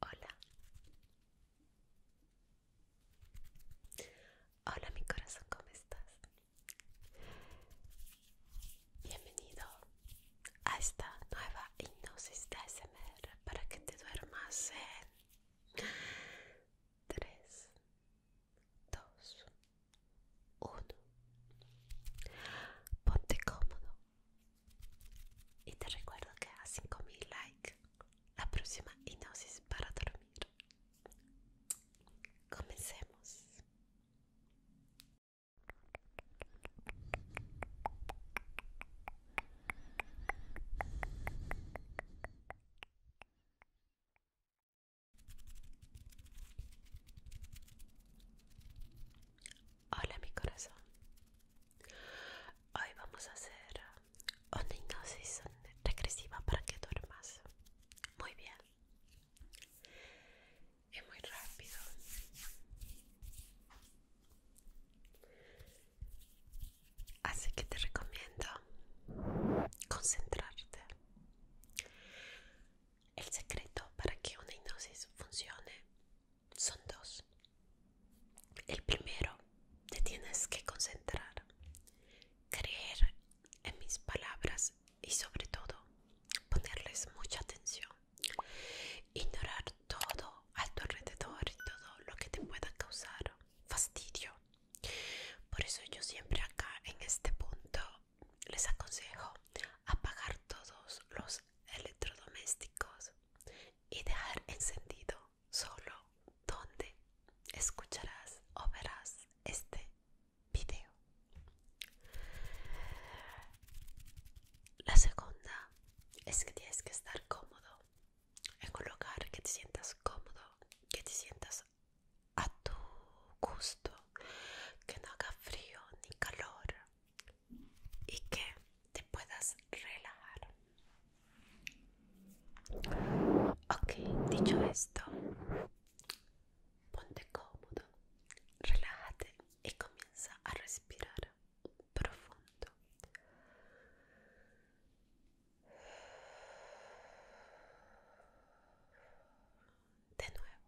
Hola. Hola mi corazón, ¿cómo estás? Bienvenido a esta nueva hipnosis de ASMR para que te duermas en 3, dos, uno. Ponte cómodo. Y te recuerdo que a 5000 likes la próxima hipnosis para dormir. Comencemos. Hola mi corazón. Hoy vamos a hacer una hipnosis regresiva para que duermas. Muy bien. Es muy rápido. Así que te recomiendo concentrarte el secreto para que una hipnosis funcione son dos. El primero, te tienes que concentrar, creer en mis palabras y sobre todo ponerles mucha atención. Ignorar todo a tu alrededor y todo lo que te pueda causar fastidio por eso yo siempre acá en este punto les aconsejo apagar todos los electrodomésticos y dejar encendido solo donde escucharás o verás este video. La segunda es que tienes que estar cómodo en un lugar que te sientas cómodo, que te sientas a tu gusto, que no haga frío ni calor y que te puedas relajar. Ok, dicho esto, ponte cómodo, relájate y comienza a respirar profundo. De nuevo.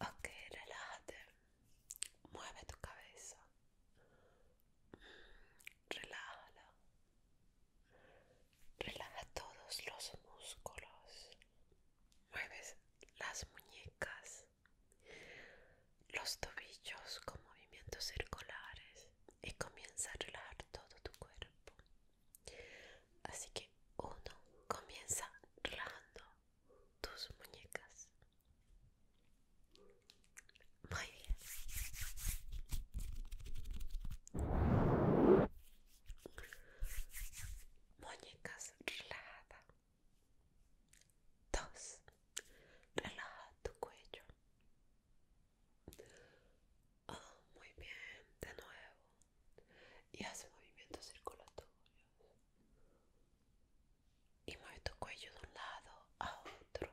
Ok, relájate. Mueve tu cabeza. Relájala. Relaja todos los músculos. Mueves las muñecas, los tobillos con movimientos circulares y comienza a relajar todo tu cuerpo. Así que uno comienza relajando tus muñecas. Muy bien. Muñecas, relajada. Dos. Relaja tu cuello. Oh, muy bien, de nuevo. Y hace movimientos circulatorios. Y mueve tu cuello de un lado a otro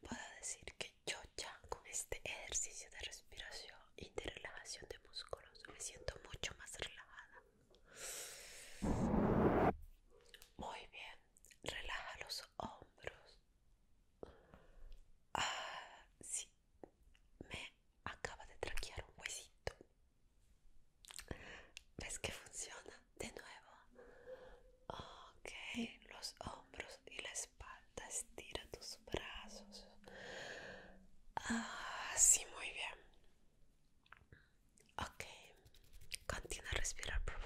puedo decir que yo ya con este ejercicio de respiración y de relajación de músculos me siento mucho más relajada. Muy bien, relaja los hombros. Ah, sí, me acaba de traquear un huesito. ¿Ves que funciona? de nuevo. Ok, los hombros y la espalda. Estira tus brazos. Así, ah, muy bien. Ok, continúa a respirar profundo.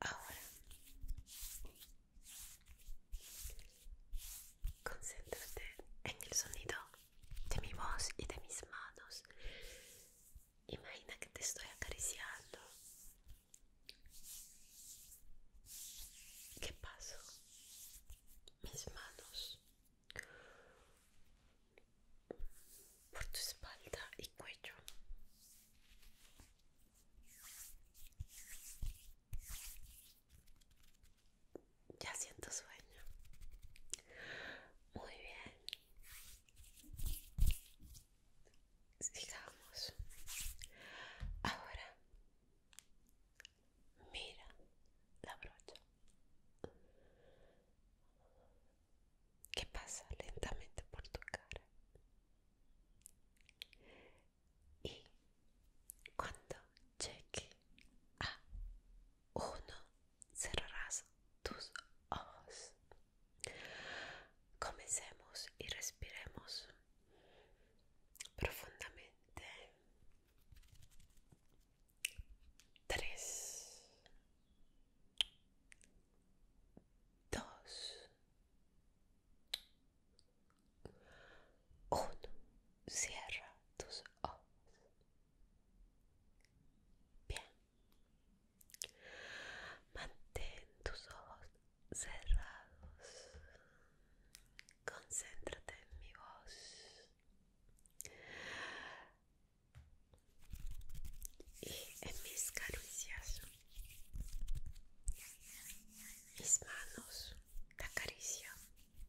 Ahora Concentrate en el sonido de mi voz y de mis manos. Imagina que te estoy acariciando. ¿Qué paso? Mis manos por tu espalda y cuello. Ya siento sueño. Muy bien. Sigamos. Ahora, mira la brocha. Que pasa lentamente por tu cara. Y cuando cheque a 1 cerrarás tus ojos. Comencemos y respiremos profundamente. 3 2 1 uno, Cierra tus ojos. Bien. Mantén tus ojos cerrados. Concéntrate en mi voz. Y en mis caricias. Mis manos te acarician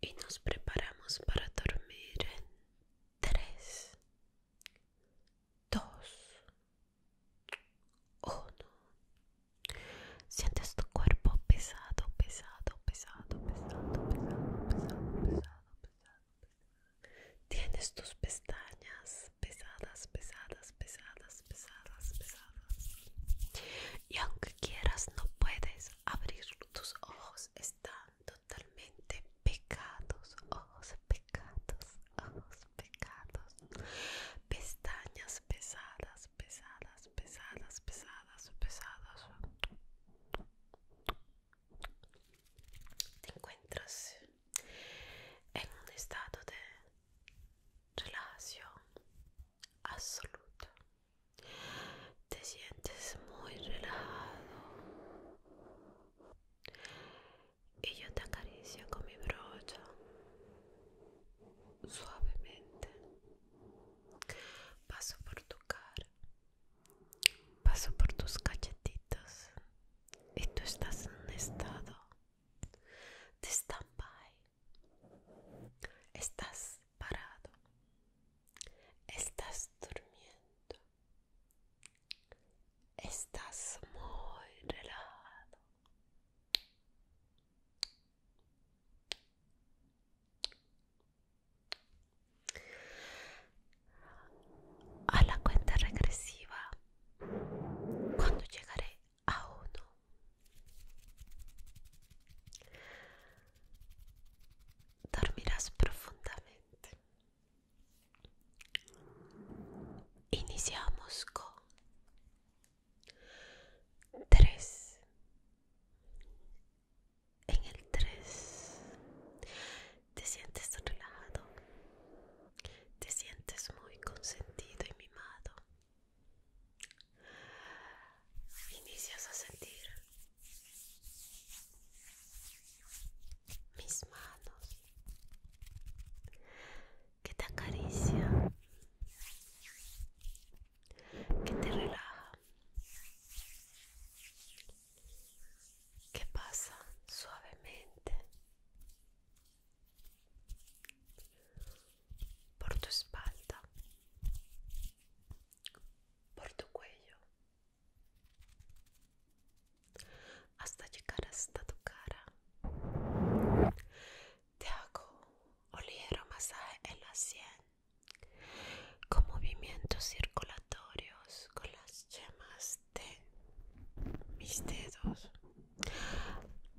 y nos preparamos para dormir en 3 2 1 sientes tu cuerpo pesado pesado pesado pesado pesado pesado pesado pesado pesado tienes tus pestañas pesadas pesadas pesadas pesadas pesadas y aunque quieras no puedes abrir tus ojos están totalmente pecados ojos pecados ojos pecados pestañas pesadas pesadas pesadas pesadas pesadas te encuentras en un estado de relajación absoluta. Te sientes muy relajado y yo te acaricio con mi brocha suavemente. Paso por tu cara, paso por tus cachetitos y tú estás en un estado de stand-by. Estás parado Estás durmiendo. Estás muy relajado. A la cuenta regresiva, cuando llegaré a uno, dormirás profundamente. Iniciamos con tres. En el tres te sientes relajado, te sientes muy consentido y mimado. Inicias a sentir mis manos que te acaricia que te relaja que pasa suavemente por tu espalda por tu cuello hasta llegar hasta tu cara. Te hago un ligero masaje en la sien con movimientos circulatorios con las yemas de mis dedos.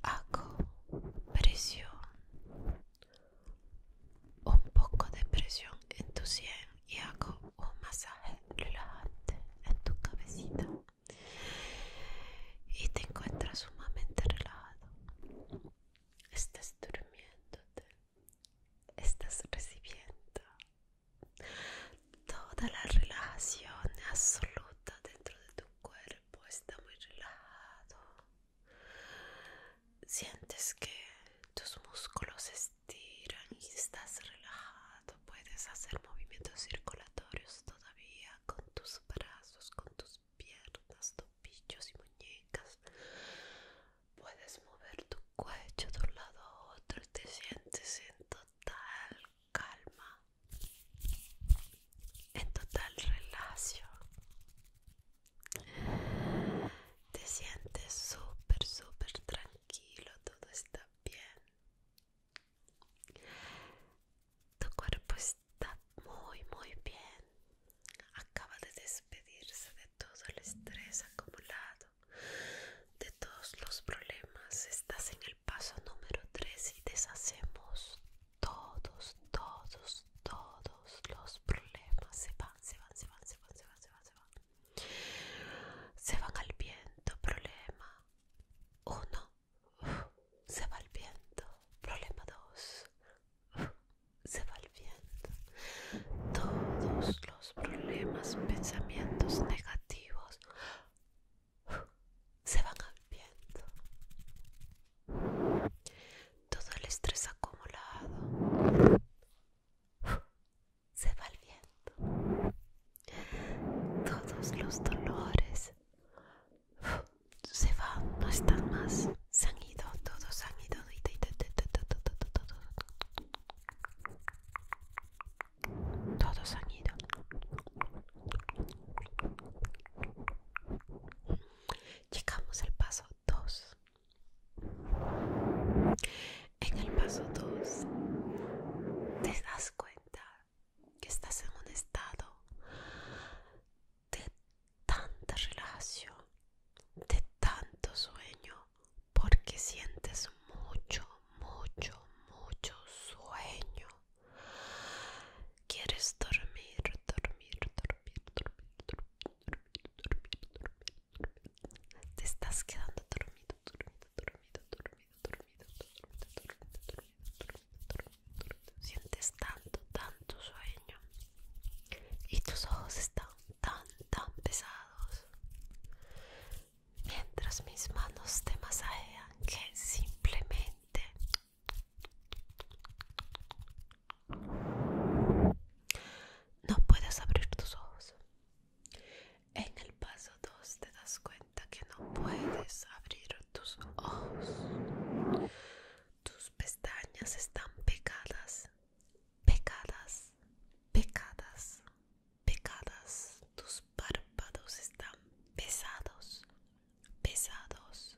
Hago presión un poco de presión en tu sien y hago un masaje relajante en tu cabecita y te encuentras sumamente relajado. Estás durmiendo, estás recibiendo toda la relajación absoluta dentro de tu cuerpo, está muy relajado. Sientes que tus músculos se estiran y estás relajado. Puedes hacer movimientos circulatorios todavía con tus brazos, con tus piernas, tobillos y muñecas. Puedes mover tu cuello de un lado a otro y te sientes en total calma, en total relación. Te sientes súper, súper tranquilo, todo está bien. Tu cuerpo está muy, muy bien. Acaba de despedirse de todo el estrés acumulado, de todos los problemas. Estás en el paso número 3 y deshacemos todos, todos, todos los problemas se van, se van, se van, se van, se van, se van, se van. Se van al viento, problema 1. Se va al viento, problema 2. Se va al viento. Todos los problemas, pensamientos negativos se van al viento. Todo el estrés acumulado se va el viento. Todos los dolores se van, no están más. Se han ido, todos han ido. Todos han ido. Llegamos al paso 2. En el paso 2, te das cuenta que estás en un estado de tanta relajación, de tanto sueño, porque sientes mucho, mucho, mucho sueño. Quieres dormir, dormir, dormir, dormir, dormir dormido, dormido. Te estás quedando dormido, dormido, dormido, dormido, dormido, dormido, dormido, dormido, dormido, dormido, dormido. Sientes tanto, tanto sueño y tus ojos están tan, tan pesados. Mientras mis manos te masajean, que simplemente no puedes abrir tus ojos. En el paso 2 te das cuenta que no puedes abrir tus ojos. Tus pestañas están pegadas, pegadas, pegadas, pegadas. Tus párpados están pesados, pesados,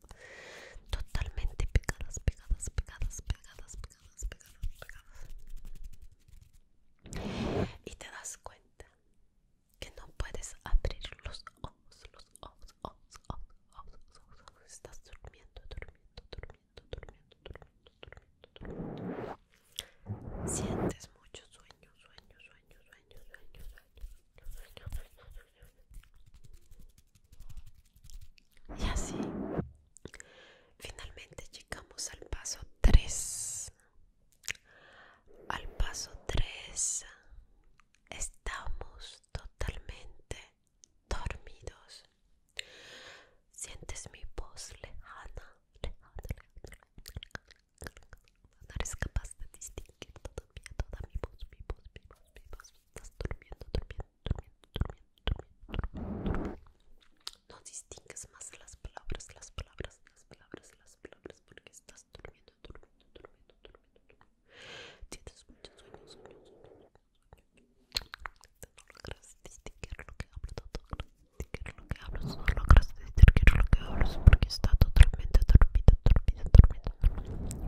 totalmente pegadas, pegadas, pegadas, pegadas, pegadas, pegadas, pegadas. Y te das cuenta que no puedes abrir los ojos, los ojos, ojos, ojos, ojos, ojos, Estás durmiendo, durmiendo, durmiendo, durmiendo, durmiendo, durmiendo, durmiendo. Sientes mucho sueño, sueño, sueño, sueño, sueño, sueño, sueño, sueño, sueño, sueño, y así, finalmente llegamos al paso 3. Al paso 3 estamos totalmente dormidos. Sientes mi voz lejana, lejana, No eres capaz de distinguir todavía toda mi voz, mi voz, mi voz, mi voz. Estás durmiendo, durmiendo, no distingues más las palabras, las palabras, las palabras, las palabras, porque estás durmiendo, durmiendo, durmiendo, durmiendo. durmiendo. Tienes muchos sueños, sueños, sueños, sueños. No logras distinguir lo que hablo, no logras distinguir lo que hablo, no logras distinguir lo que hablo, porque está totalmente dormido, dormido, dormido.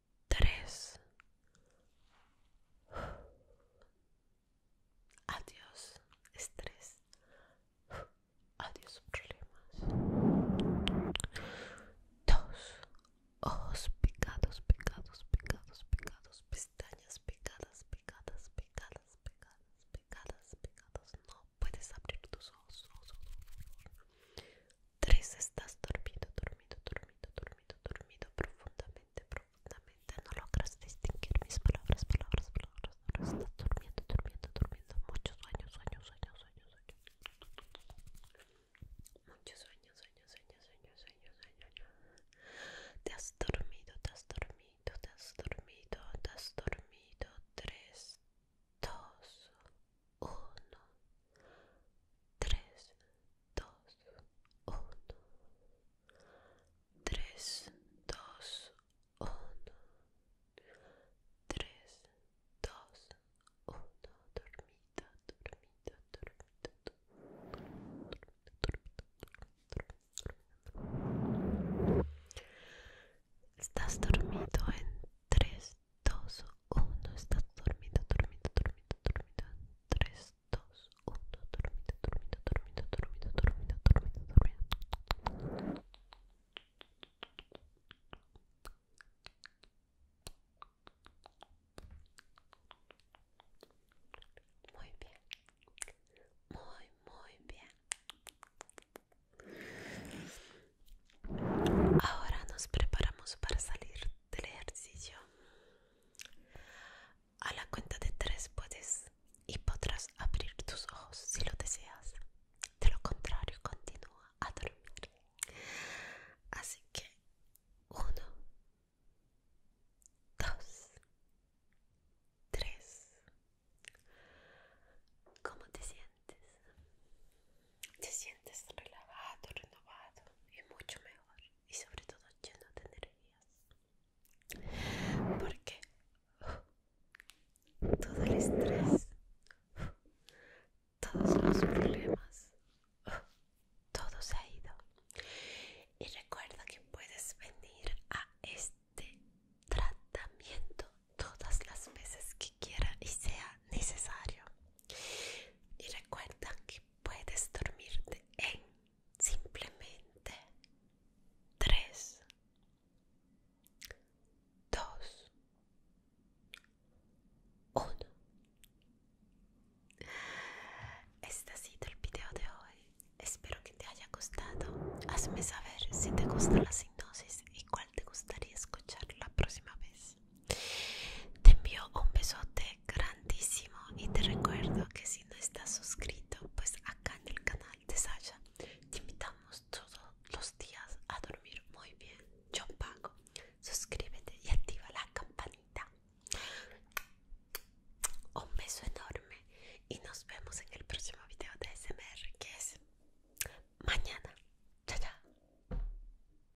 tres. Adiós, estrés. Adiós, problemas. Dos. Ojos picados, picados, picados, pecados. Pestañas picadas, picadas, picadas, picadas, picadas, pecados. No puedes abrir tus ojos tres estás dormido, dormido, dormido, dormido, dormido profundamente, profundamente. No logras distinguir mis palabras, palabras, palabras. No estás durmiendo, durmiendo, durmiendo. Muchos sueños, sueños, sueño, sueños, sueños. Muchos sueños, sueños, sueños, sueños, sueño, Te has dormido, te has dormido, te has dormido, te has dormido. tres dos uno, tres, dos, uno, tres, dos, uno, tres, dos, uno, dormida, dormida dormida, dormida, dormida. Estás dormido en tres, Dos, uno, está dormido, dormido, dormido, dormido. 3, 2, 1, dormido, dormido, dormido, dormido, dormido, dormido. Muy bien, muy, muy bien. Ahora nos preparamos para salir del ejercicio. A la cuenta de tres puedes y podrás abrir tus ojos si lo deseas. De lo contrario, continúa a dormir. Así que uno, dos, tres. ¿Cómo te sientes? Te sientes relajado, renovado y mucho mejor. Y sobre todo lleno de energías. Porque todo el estrés, todos los problemas, todo se ha ido. Y recuerda que puedes venir a este tratamiento todas las veces que quieras y sea necesario. Y recuerda que puedes dormirte en simplemente 3, 2, 1. Este ha sido el video de hoy. Espero que te haya gustado. Hazme saber si te gusta la sinosis y cuál te gustaría escuchar la próxima vez. Te envío un besote grandísimo y te recuerdo que si no estás suscrito, pues acá en el canal de Sasha te invitamos todos los días a dormir muy bien. Yo pago. Suscríbete y activa la campanita. Un beso enorme y nos vemos en el próximo video de SMR que es mañana. Chao,